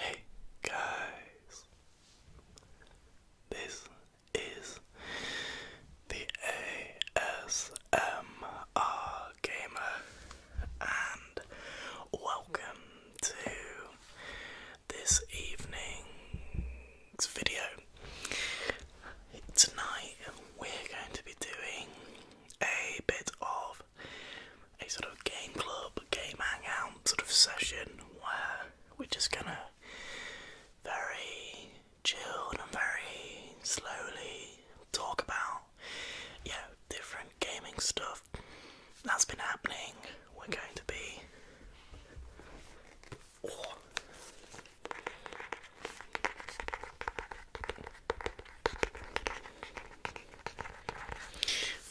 Hey guys, this is the ASMR Gamer, and welcome to this evening's video. Tonight we're going to be doing a bit of a sort of game club, game hangout sort of session where we're just gonna very chilled and very slowly talk about yeah, you know, different gaming stuff that's been happening. We're going to be Oh.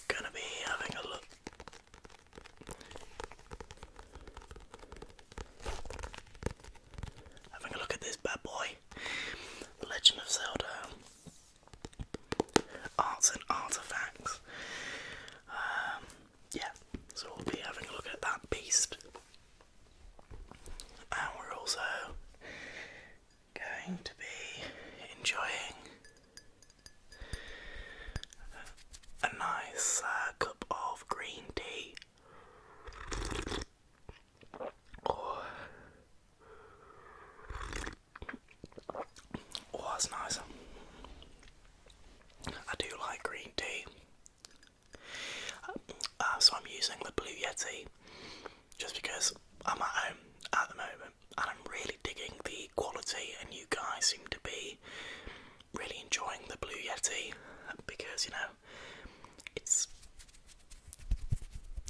Gonna be having a look. Having a look at this bad boy. Legend of Zelda. Arts and artifacts. Um, yeah, so we'll be having a look at that beast. And we're also going to be enjoying a nice uh, cup of green tea. Oh. oh, that's nice. I do like green tea. Uh, uh, so I'm using the Blue Yeti just because I'm at home at the moment and I'm really digging the quality and you guys seem to be really enjoying the Blue Yeti because you know it's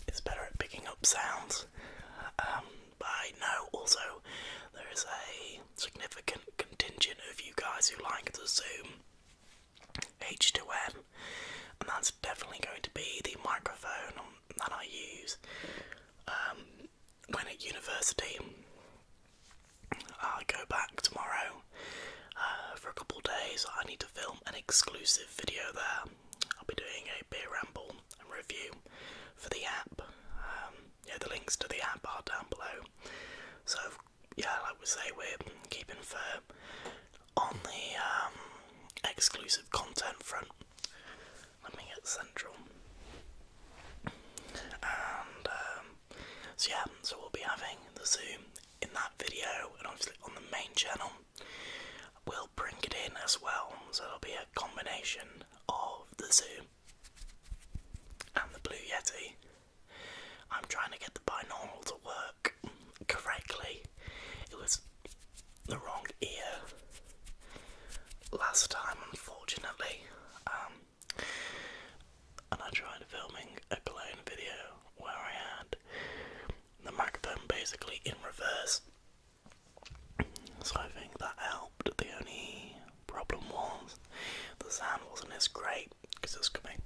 it's better at picking up sounds um, but I know also there is a significant contingent of you guys who like the Zoom H2M, and that's definitely going to be the microphone um, that I use um, when at university. I will go back tomorrow uh, for a couple of days. I need to film an exclusive video there. I'll be doing a beer ramble and review for the app. Um, yeah, the links to the app are down below. So yeah, like we say, we're keeping firm on the um, exclusive content front. Let me get central. And um, so yeah, so we'll be having the Zoom in that video, and obviously on the main channel, we'll bring it in as well. So it'll be a combination of the Zoom and the Blue Yeti. I'm trying to get the binaural to work correctly. It was the wrong ear last time, unfortunately. Um, and I tried filming a clone video where I had the microphone basically in reverse. So I think that helped. The only Problem was, the sound wasn't as great because it's coming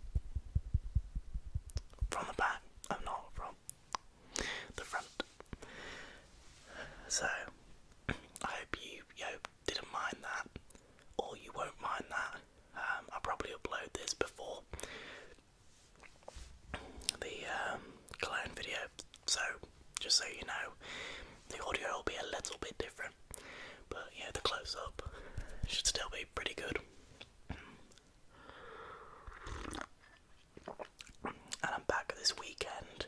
from the back and not from the front. So, I hope you, you didn't mind that, or you won't mind that. Um, I'll probably upload this before the um, video, so just so you know, the audio will be a little bit different. But yeah, the close up should still be pretty good. And I'm back this weekend.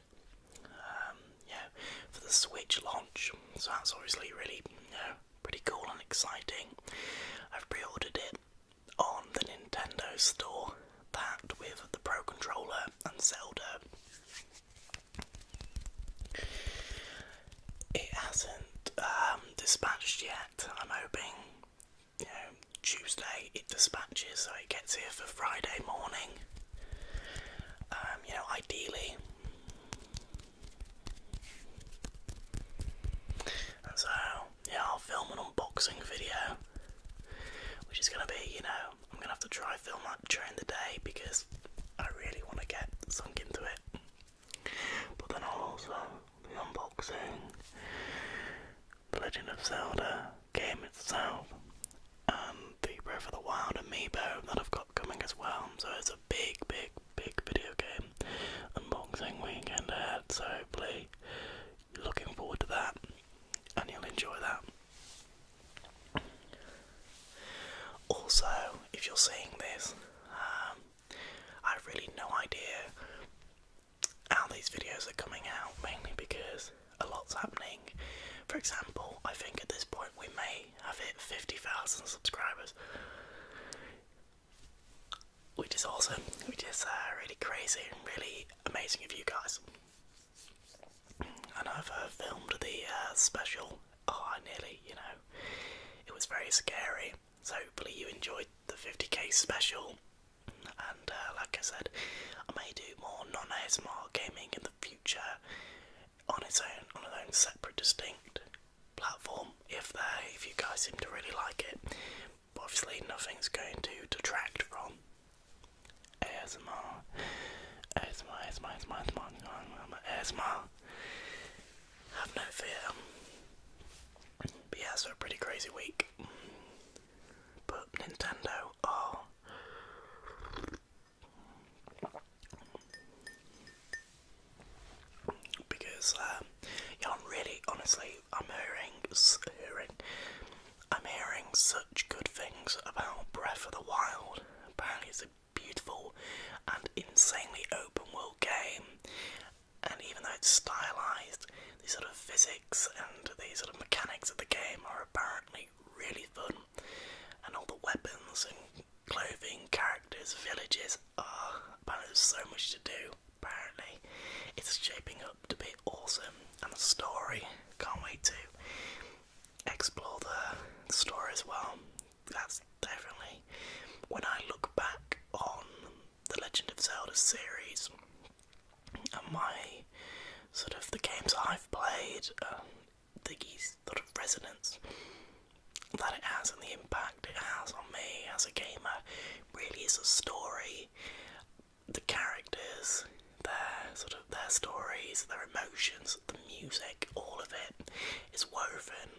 Um, yeah, for the Switch launch, so that's obviously really, you pretty cool and exciting. I've pre-ordered it on the Nintendo store, that with the Pro Controller and Zelda. It hasn't um, dispatched yet. I'm hoping, you know, Tuesday it dispatches so it gets here for Friday morning. Um, you know, ideally. so, yeah, I'll film an unboxing video, which is going to be, you know, I'm going to have to try film during the day because I really want to get sunk into it. But then I'll also be unboxing The Legend of Zelda game itself and the Breath of the Wild amiibo that I've got coming as well. So it's a big, big, big video game unboxing weekend ahead. So hopefully, looking forward to that and you'll enjoy that. Also, if you're seeing this, um, I have really no idea how these videos are coming out, mainly because a lot's happening. For example, I think at this point we may have hit 50,000 subscribers, which is awesome, which is uh, really crazy and really amazing of you guys. And I've uh, filmed the uh, special oh, I nearly, you know. It was very scary. So hopefully you enjoyed the 50k special. And uh, like I said, I may do more non-ASMR gaming in the future on its own, on its own separate, distinct platform. If there, if you guys seem to really like it, obviously nothing's going to detract from ASMR. ASMR, ASMR, ASMR, ASMR, ASMR, ASMR, have no fear. But yeah, so a pretty crazy week. But Nintendo oh, Because um, uh, yeah, I'm really, honestly, I'm hearing, hearing, I'm hearing such good things about Breath of the Wild. Apparently, it's a beautiful and insanely open world game. And even though it's stylized, the sort of physics and the sort of mechanics of the game are apparently really fun. And all the weapons and clothing, characters, villages are ah, apparently there's so much to do. Apparently, it's shaping up to be awesome, and the story can't wait to explore the story as well that's definitely when I look back on the Legend of Zelda series and my sort of the games I've played, um, the sort of resonance that it has and the impact it has on me as a gamer really is a story. The characters, their sort of their stories, their emotions, the music, all of it is woven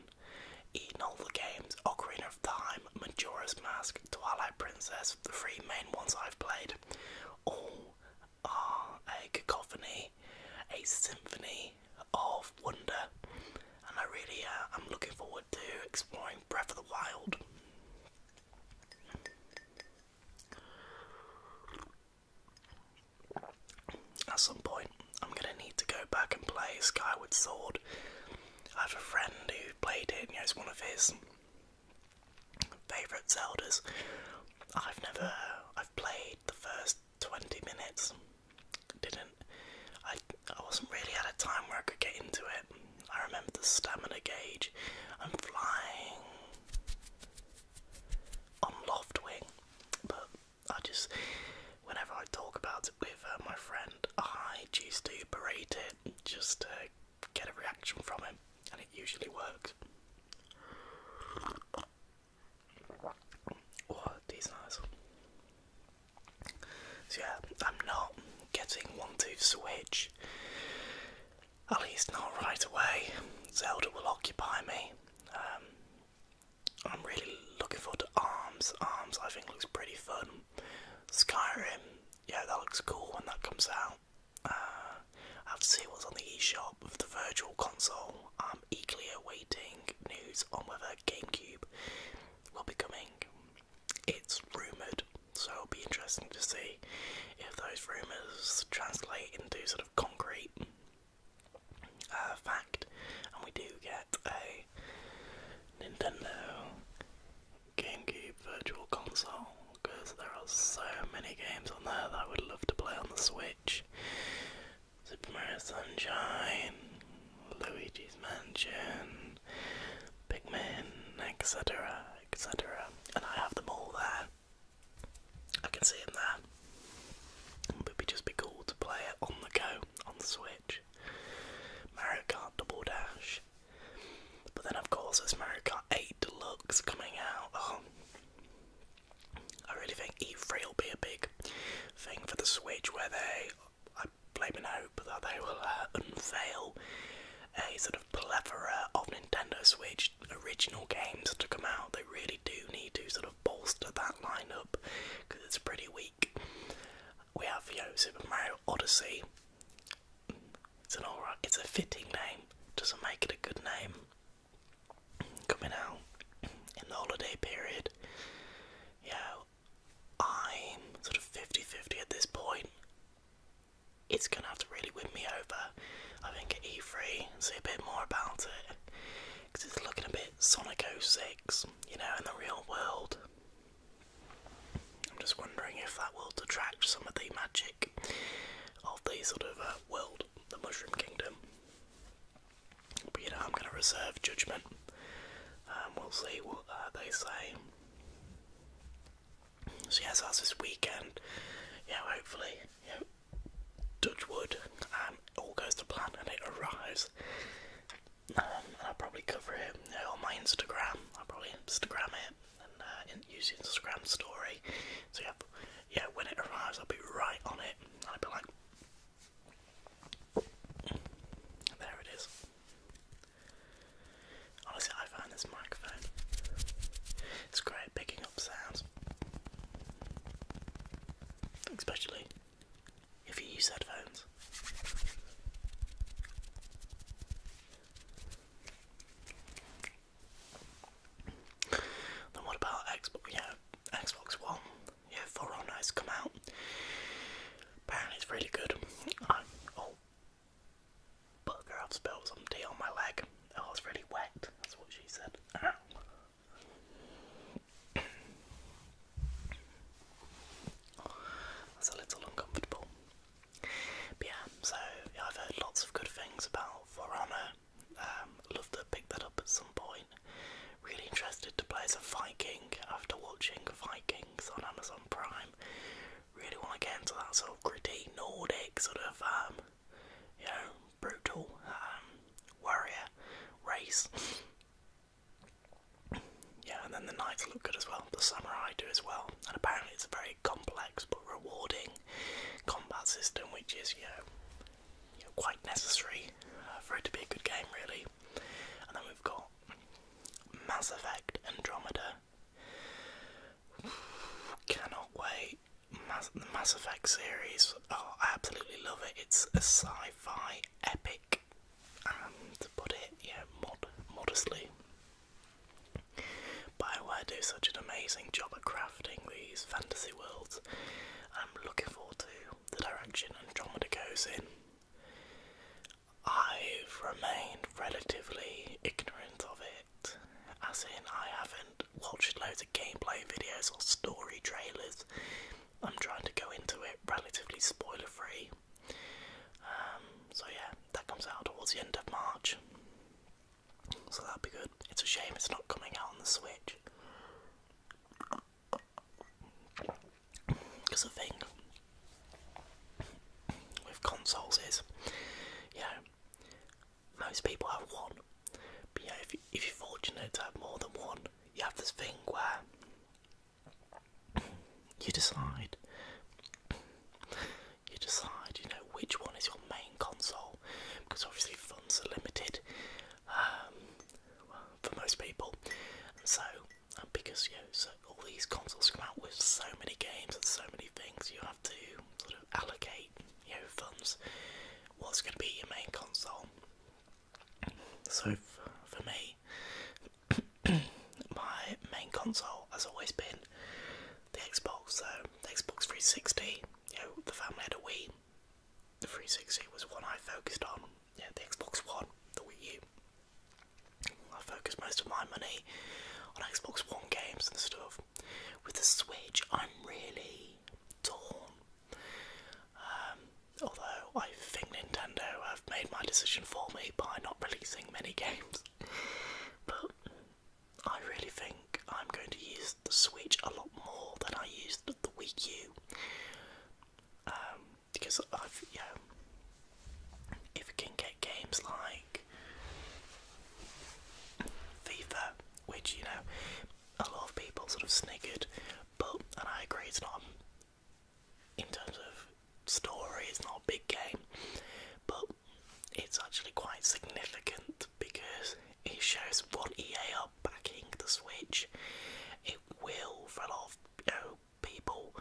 in all the games Ocarina of Time, Majora's Mask, Twilight Princess, the three main ones I've played, all are a cacophony, a symphony of wonder, and I really uh, am looking forward to exploring Breath of the Wild. At some point, I'm gonna need to go back and play Skyward Sword. I have a friend who played it, you know, it's one of his favourite Zeldas. I've never, I've played the first 20 minutes, didn't, I, I wasn't really at a time where I could get into it. I remember the stamina gauge, I'm flying on Loftwing, but I just, whenever I talk about it with uh, my friend, I just do berate it just to get a reaction from him, and it usually works. Oh, these are So yeah, I'm not getting one to switch. At least not right away. Zelda will occupy me. Um, I'm really looking forward to Arms. Arms, I think, looks pretty fun. Skyrim, yeah, that looks cool when that comes out. Uh, I have to see what's on the eShop of the virtual console. I'm eagerly awaiting news on whether GameCube will be coming. It's rumoured, so it'll be interesting to see if those rumours translate into sort of concrete fact, and we do get a Nintendo GameCube Virtual Console because there are so many games on there that I would love to play on the Switch. Super Mario Sunshine, Luigi's Mansion, Pikmin, etc., etc., and I have them all there. I can see them there it'd be just be cool to play it on the go, on the Switch. Mario Kart Double Dash. But then, of course, there's Mario Kart 8 Deluxe coming out. Oh. I really think E3 will be a big thing for the Switch where they, I blame and hope, that they will uh, unveil a sort of plethora of Nintendo Switch original games to come out. They really do need to sort of bolster that lineup because it's pretty weak. We have, you know, Super Mario Odyssey. It's an alright, it's a fitting name, doesn't make it a good name. Coming out in the holiday period, Yeah, I'm sort of 50 50 at this point. It's gonna have to really win me over. I think at E3, see a bit more about it it's looking a bit Sonic 06, you know, in the real world. I'm just wondering if that will detract some of the magic of the sort of uh, world, the Mushroom Kingdom. But you know, I'm going to reserve judgment. Um, we'll see what uh, they say. So yes, that's this weekend. Yeah, hopefully, Dutchwood, wood, um, all goes to plan and it arrives. Um, and I'll probably cover it uh, on my Instagram. I'll probably Instagram it and uh, use the Instagram story. So yeah, yeah, when it arrives, I'll be right on it, and I'll be like, there it is. Honestly, I found this microphone. It's great picking up sounds, especially if you use headphones. Then what about Xbox? Yeah, Xbox One. Yeah, For Honor oh has come out. Apparently, it's really good. oh, bugger! I've spilled some tea on my leg. Oh, it's really wet. That's what she said. That's a little uncomfortable. yeah, so I've heard lots of good things about For Honor. Um, love to pick that up at some point. Really interested to play as a Viking after watching Vikings on Amazon Prime. Really want to get into that sort of gritty Nordic sort of, um, brutal um, warrior race. Yeah, and then the knights look good as well. The samurai do as well, and apparently it's a very complex but rewarding combat system, which is you know, quite necessary uh, for it to be a good game, really. And then we've got Mass Effect Andromeda. Cannot wait. the Mass Effect series, oh, I absolutely love it. It's a sci-fi epic, to put it, modestly. Bioware do such an amazing job at crafting these fantasy worlds. I'm looking forward to the direction Andromeda goes in. I've remained relatively ignorant of it, as in I haven't watched loads of gameplay videos or story trailers I'm trying to go into it relatively spoiler free. Um, so, yeah, that comes out towards the end of March. So that'll be good. It's a shame it's not coming out on the Switch. Because the thing with consoles is, you most people have one. But yeah, if, if you're fortunate to have more than one, you have this thing where you decide you decide you know which one is your main console because obviously funds are limited um, for most people so because you know, so all these consoles come out with so many games and so many things you have to sort of allocate you know funds what's going to be your main console so for me, my main console has always been the Xbox. So Xbox 360. You the family had a Wii. The 360 was one I focused on. Yeah, the Xbox One, the Wii U. I focused most of my money on Xbox One games and stuff. With the Switch, I'm really torn. Um, Although I think Nintendo have made my decision for me by not releasing many games. but I really think I'm going to use the Switch a lot more than I used the Wii U. Um, because I've, you know, if you can get games like FIFA, which, you know, a lot of people sort of sniggered but and I agree, it's not in terms of story, it's not a big game, but it's actually quite significant because it shows what EA are backing the Switch. It will, for a you know, people,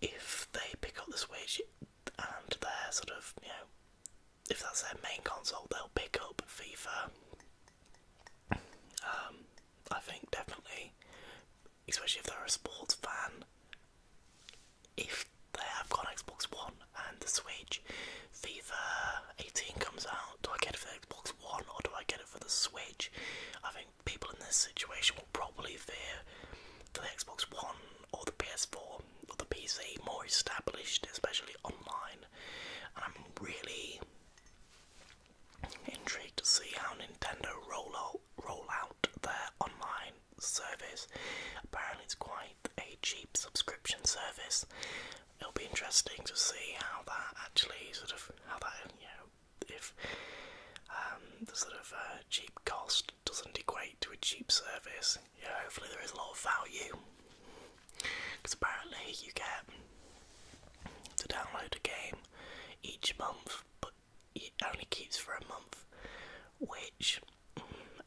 if they pick up the Switch and they're sort of, you know, if that's their main console, they'll pick up FIFA um, I think definitely, especially if they're a sports fan, if they have got Xbox One and the Switch, FIFA 18 comes out, do I get it for Xbox One or do I get it for the Switch? I think people in this situation will probably fear the Xbox One or the PS4 or the PC more established, especially online. And I'm really Intrigued to see how Nintendo roll out, their online service. Apparently, it's quite a cheap subscription service. It'll be interesting to see how that actually sort of how that you know if um, the sort of uh, cheap cost doesn't equate to a cheap service. Yeah, hopefully there is a lot of value. Because apparently you get to download a game each month, but it only keeps for a month, which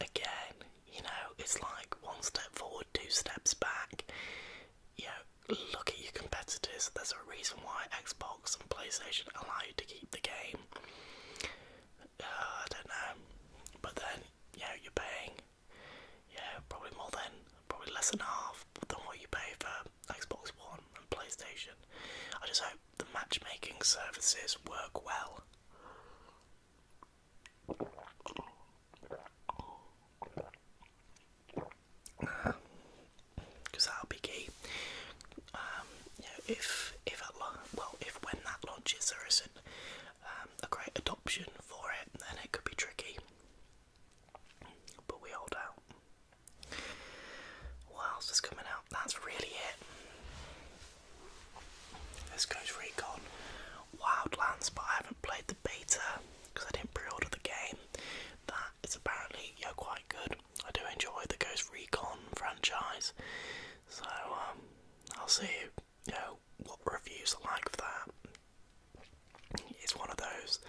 again, you know, it's like one step forward, two steps back. You know, look at your competitors. There's a reason why Xbox and PlayStation allow you to keep the game. Uh, I don't know, but then you you're paying yeah, probably more than, probably less than half than what you pay for Xbox One and PlayStation. I just hope the matchmaking services work well. Because that'll be key. Um, if if well, if when that launches there isn't um, a great adoption for it, then it could be tricky. But we hold out. What else is coming out? That's really it. This Ghost Recon Wildlands, but I haven't played the beta because I didn't pre-order the game. That is apparently yeah quite good. I do enjoy the Ghost Recon franchise, so um, I'll see you know what reviews are like for that. It's one of those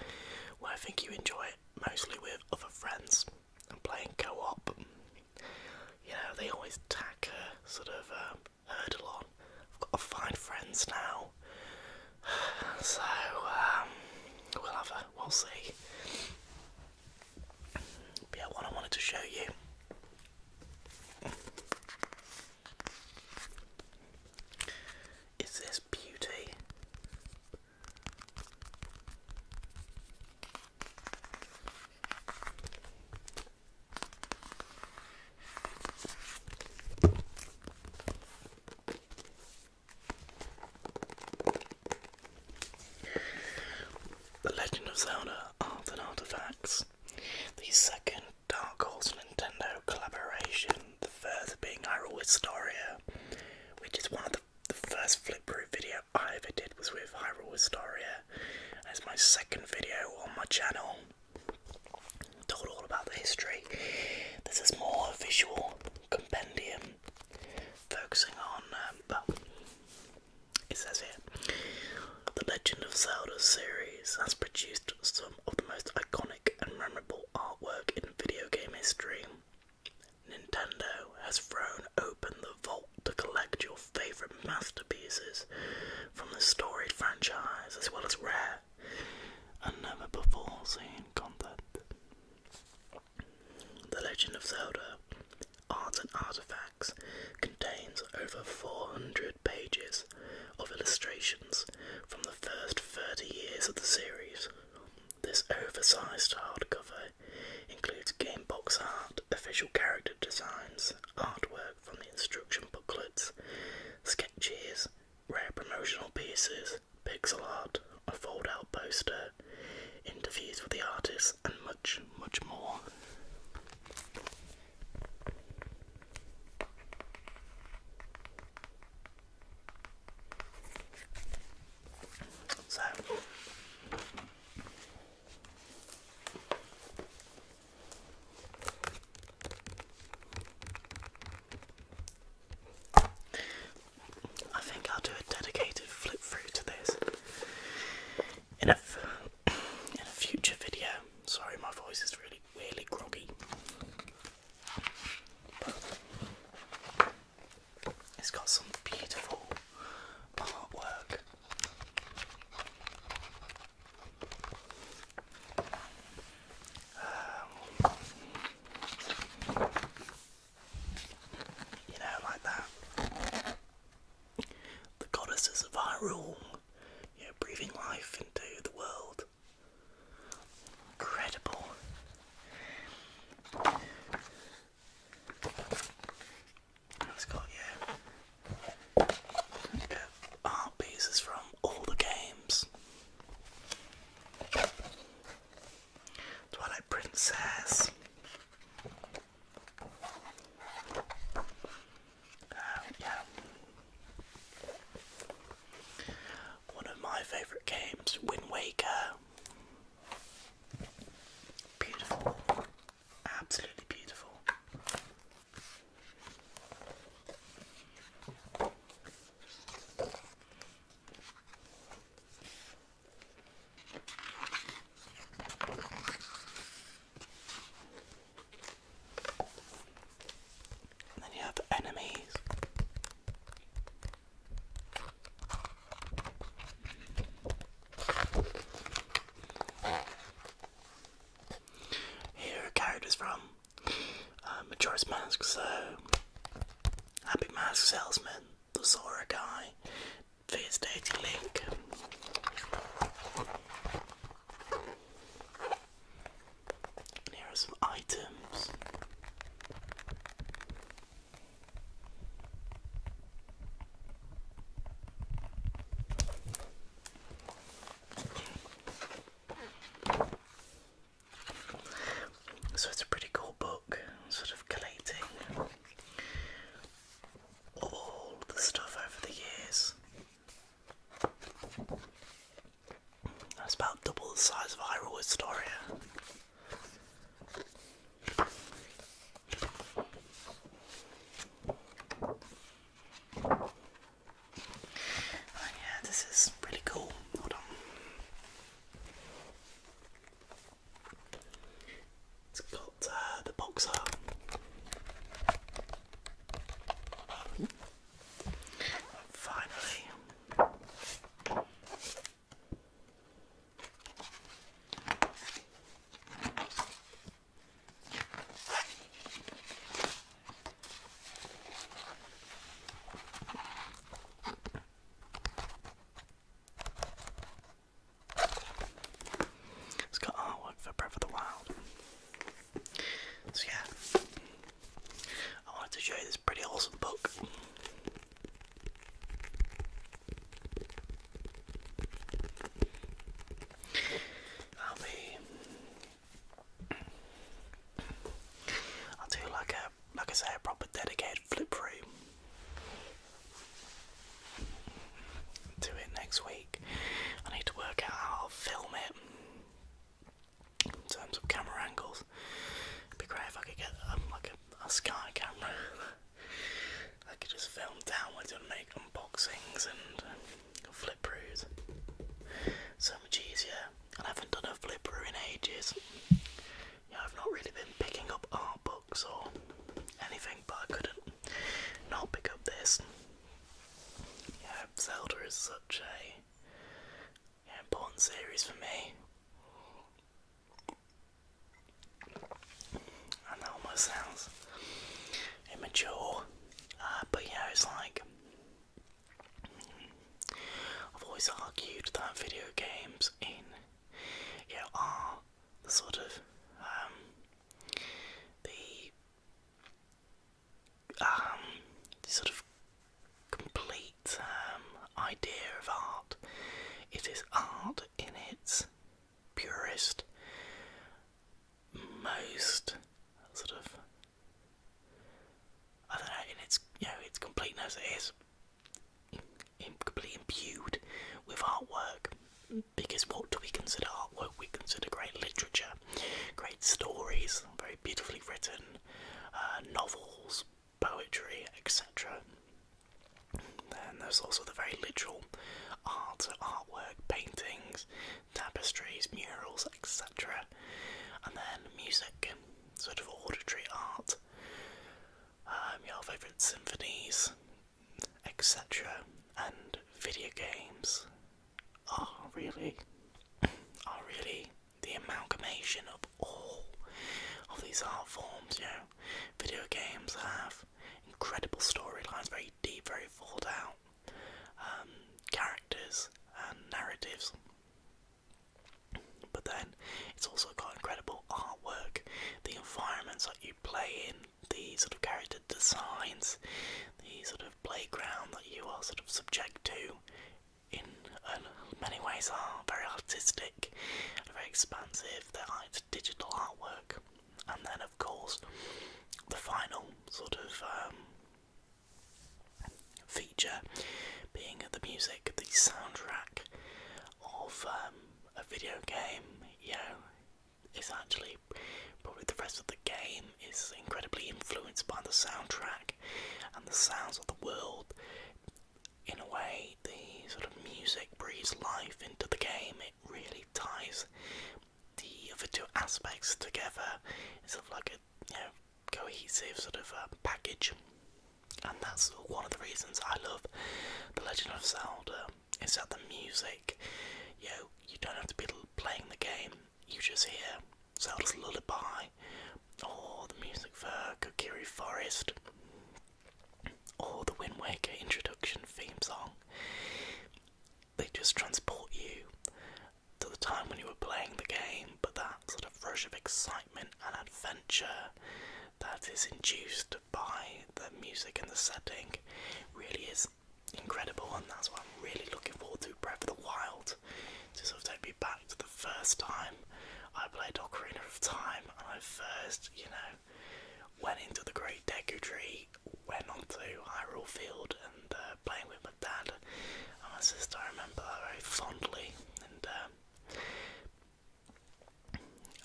where I think you enjoy it mostly with other friends and playing co op. You know, they always tack a sort of um, hurdle on. I've got to find friends now. So, um, we'll have a, we'll see. But yeah, what I wanted to show you is this beauty? The Legend of Zelda Art and Artifacts, the second Dark Horse Nintendo collaboration the first being Hyrule Historia, which is one of the, first flip through video I ever did was with Hyrule Historia. It's my second video on my channel. Told all about the history. This is more a visual compendium focusing on, um, it says here, the Legend of Zelda series has produced some of the most iconic and memorable artwork in video game history. Nintendo has thrown open the vault to collect your favourite masterpieces from the storied franchise as well as rare and never before seen content. The Legend of Zelda Art and Artifacts contains over 400 pages of illustrations from the first 30 years of the series. This oversized hardcover includes game box art, official character designs, artwork from the instruction booklets, sketches, rare promotional pieces, pixel art, a fold out poster, interviews with the artists, and much, much more. So I think I'll do a dedicated flip through to this in a in a future video. Sorry, my voice is really really groggy. It's got some beautiful artwork. Um, you know, like that. The goddesses of Hyrule, you know, breathing life into the world. Incredible. It's got yeah, art pieces from all the games. Twilight Princess. Um, yeah, one of my favourite games, Wind Waker. Beautiful. Absolutely beautiful. And then you have enemies. Here are characters from uh, Majora's Mask, so Happy Mask Salesman, the Sora guy, Fierce Dating Link here are some items. So it's a pretty cool book, sort of collating all the stuff over the years. That's about double the size of Hyrule Historia. Oh yeah, this is really cool. Hold on. It's got uh, the box finally, it's got artwork for Breath of the Wild. So yeah, I wanted to show you this pretty awesome book. I'll be. I'll do like a, like I say, a proper flip through. Do it next week. I need to work out how I'll film it in terms of camera angles. It'd be great if I could get um, like a, sky camera. I could just film downwards and make unboxings and uh, flip throughs. So much easier. I haven't done a flip through in ages. Yeah, I've not really been picking up art books or anything, but I couldn't not pick up this. Yeah, Zelda is such a yeah, important series for me. And that almost sounds immature, uh, but yeah, it's like I've always argued that video games in you are the sort of um, um, the sort of complete um, idea of art. It is art in its purest, most sort of I don't know in its you know its completeness. It is in, imbued with artwork. Because what do we consider artwork? We consider great literature, great stories, very beautifully written uh, novels, poetry, etc. Then there's also the very literal art, artwork, paintings, tapestries, murals, etc. And then music, sort of auditory art, um, your favourite symphonies, etc. And video games are really, are really the amalgamation of all of these art forms, you know. Video games have incredible storylines, very deep, very thought out um, characters and narratives. But then it's also got incredible artwork, the environments that you play in, the sort of character designs, the sort of playground that you are sort of subject to in many ways are very artistic, very expansive. They're like digital artwork, and then of course the final sort of um, feature being the music, the soundtrack of um, a video game. You know, it's actually probably the rest of the game is incredibly influenced by the soundtrack and the sounds of the world in a way, the sort of music breathes life into the game. It really ties the other two aspects together. It's sort of like a you know, cohesive sort of uh, package, and that's one of the reasons I love The Legend of Zelda. Is that the music? You you don't have to be playing the game. You just hear Zelda's Lullaby, or oh, the music for Kokiri Forest, or oh, the Wind Waker introduction theme song. They just transport you to the time when you were playing the game, but that sort of rush of excitement and adventure that is induced by the music and the setting really is incredible, and that's what I'm really looking forward to Breath of the Wild to sort of take me back to the first time I played Ocarina of Time and I first, you know, went into the Great Deku Tree, went onto Hyrule Field and uh, playing with my dad and my sister. I remember that very fondly and uh,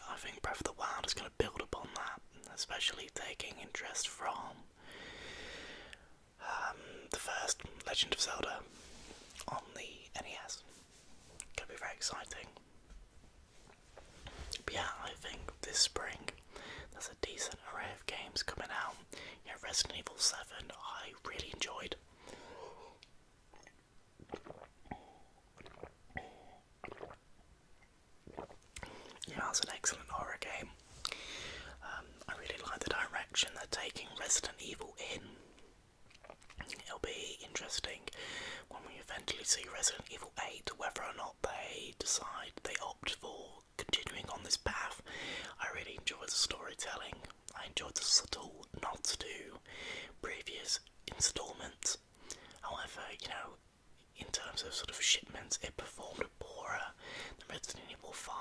I think Breath of the Wild is going to build upon that, especially taking interest from um, the first Legend of Zelda on the NES. Gonna be very exciting. yeah, I think this spring there's a decent array of games coming out. Yeah, Resident Evil 7 I really enjoyed. Yeah, that's an excellent horror game. Um, I really like the direction they're taking Resident Evil in. It'll be interesting when we eventually see Resident Evil 8 whether or not they decide they opt for continuing on this path. I really enjoyed the storytelling, I enjoyed the subtle nods to previous installments. However, you know, in terms of sort of shipments, it performed poorer than Resident Evil 5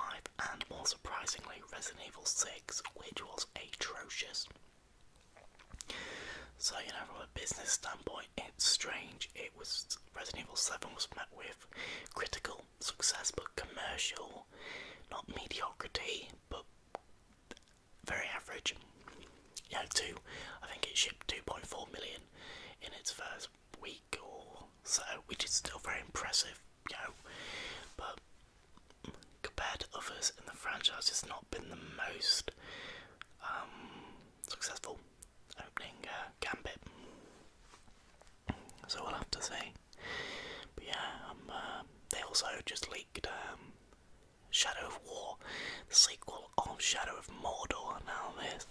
and more surprisingly Resident Evil 6, which was atrocious. So, you know, from a business standpoint, it's strange. It was Resident Evil 7 was met with critical success, but commercial, not mediocrity, but very average. You know, two, I think it shipped 2.4 million in its first week or so, which is still very impressive, you know, but compared to others in the franchise, it's not been the most um, successful opening uh, gambit. So we'll have to see. But yeah, um, uh, they also just leaked um, Shadow of War, the sequel of Shadow of Mordor. Now this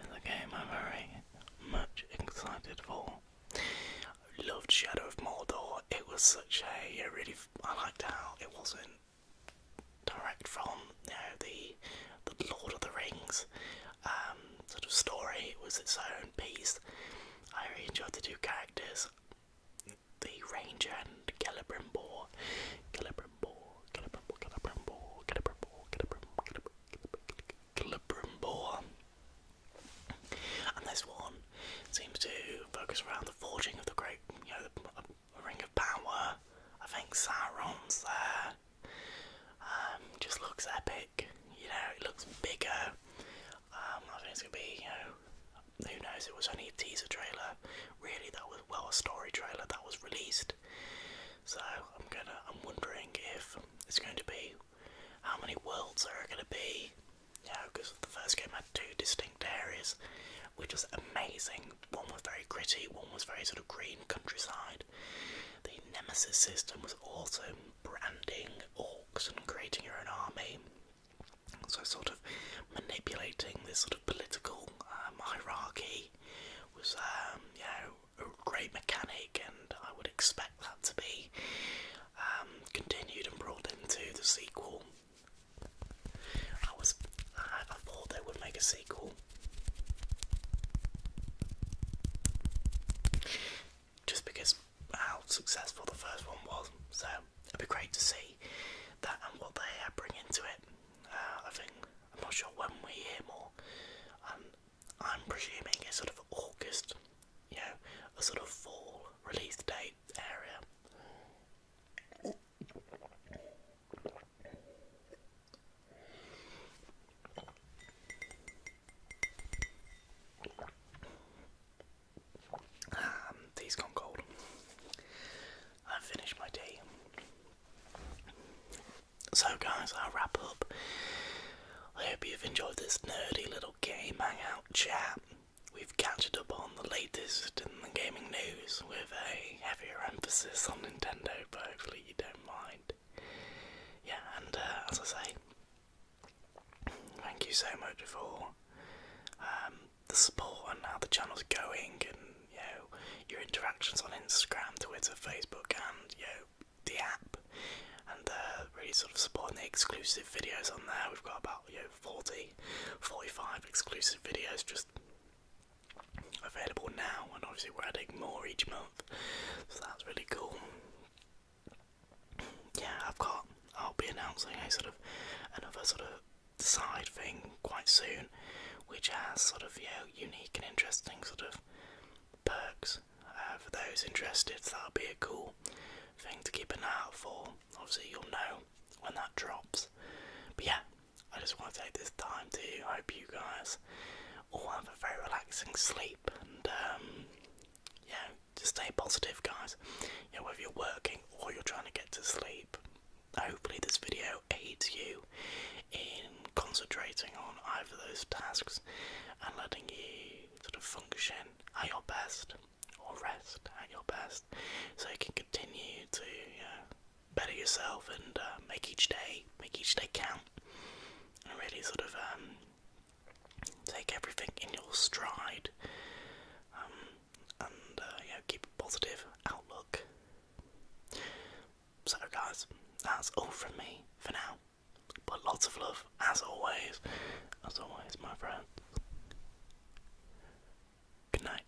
is a game I'm very much excited for. I loved Shadow of Mordor. It was such a, really. I liked how it wasn't direct from you know, the the Lord of the Rings um, sort of story. It was its own piece. I really enjoyed the two characters, the Ranger and Celebrimbor. Celebrimbor, Celebrimbor, Celebrimbor, Celebrimbor, Celebrimbor, Celebrimbor. And this one seems to focus around the forging of the great, you know, a ring of power. I think Sarons there. Um, just looks epic. You know, it looks bigger. Um, I think it's gonna be, who knows? It was only a teaser trailer. Really, that was well a story trailer that was released. So I'm gonna, I'm wondering if it's going to be how many worlds are gonna be you because the first game had two distinct areas, which was amazing. One was very gritty, one was very sort of green countryside. The Nemesis system was also branding orcs and creating your own army. So, sort of manipulating this sort of political um, hierarchy was, um, a great mechanic, and I would expect that to be um, continued and brought into the sequel. I was, I, thought they would make a sequel. Just because how successful the first one was, so it'd be great to see that and what they uh, bring into it. Uh, I think I'm not sure when we hear more, um, I'm presuming it's sort of August, you know, a sort of fall release date. Um, tea's gone cold. I've finished my tea. So, guys, I'll wrap up. I hope you've enjoyed this nerdy little game hangout chat. We've catched up on the latest in the gaming news with a heavier emphasis on Nintendo, but hopefully you don't mind. Yeah, and uh, as I say, thank you so much for um, the support and how the channel's going, and you know your interactions on Instagram, Twitter, Facebook, and you know the app, and uh, really sort of supporting the exclusive videos on there. We've got about you know, 40, 45 exclusive videos just available now, and obviously we're adding more each month, so that's really cool. Yeah, I've got, I'll be announcing a sort of another sort of side thing quite soon, which has sort of, you know unique and interesting sort of perks uh, for those interested, so that'll be a cool thing to keep an eye out for. Obviously, you'll know when that drops. But yeah, I just want to take this time to hope you guys all have a very relaxing sleep and um, yeah, just stay positive, guys. You whether you're working or you're trying to get to sleep, hopefully, this video aids you in concentrating on either those tasks and letting you sort of function at your best or rest at your best, so you can continue to better yourself and uh, make each day make each day count, and really sort of um, take everything in your stride, um, and uh, keep a positive outlook. So guys, that's all from me for now. But lots of love as always. As always, my friends. Good night.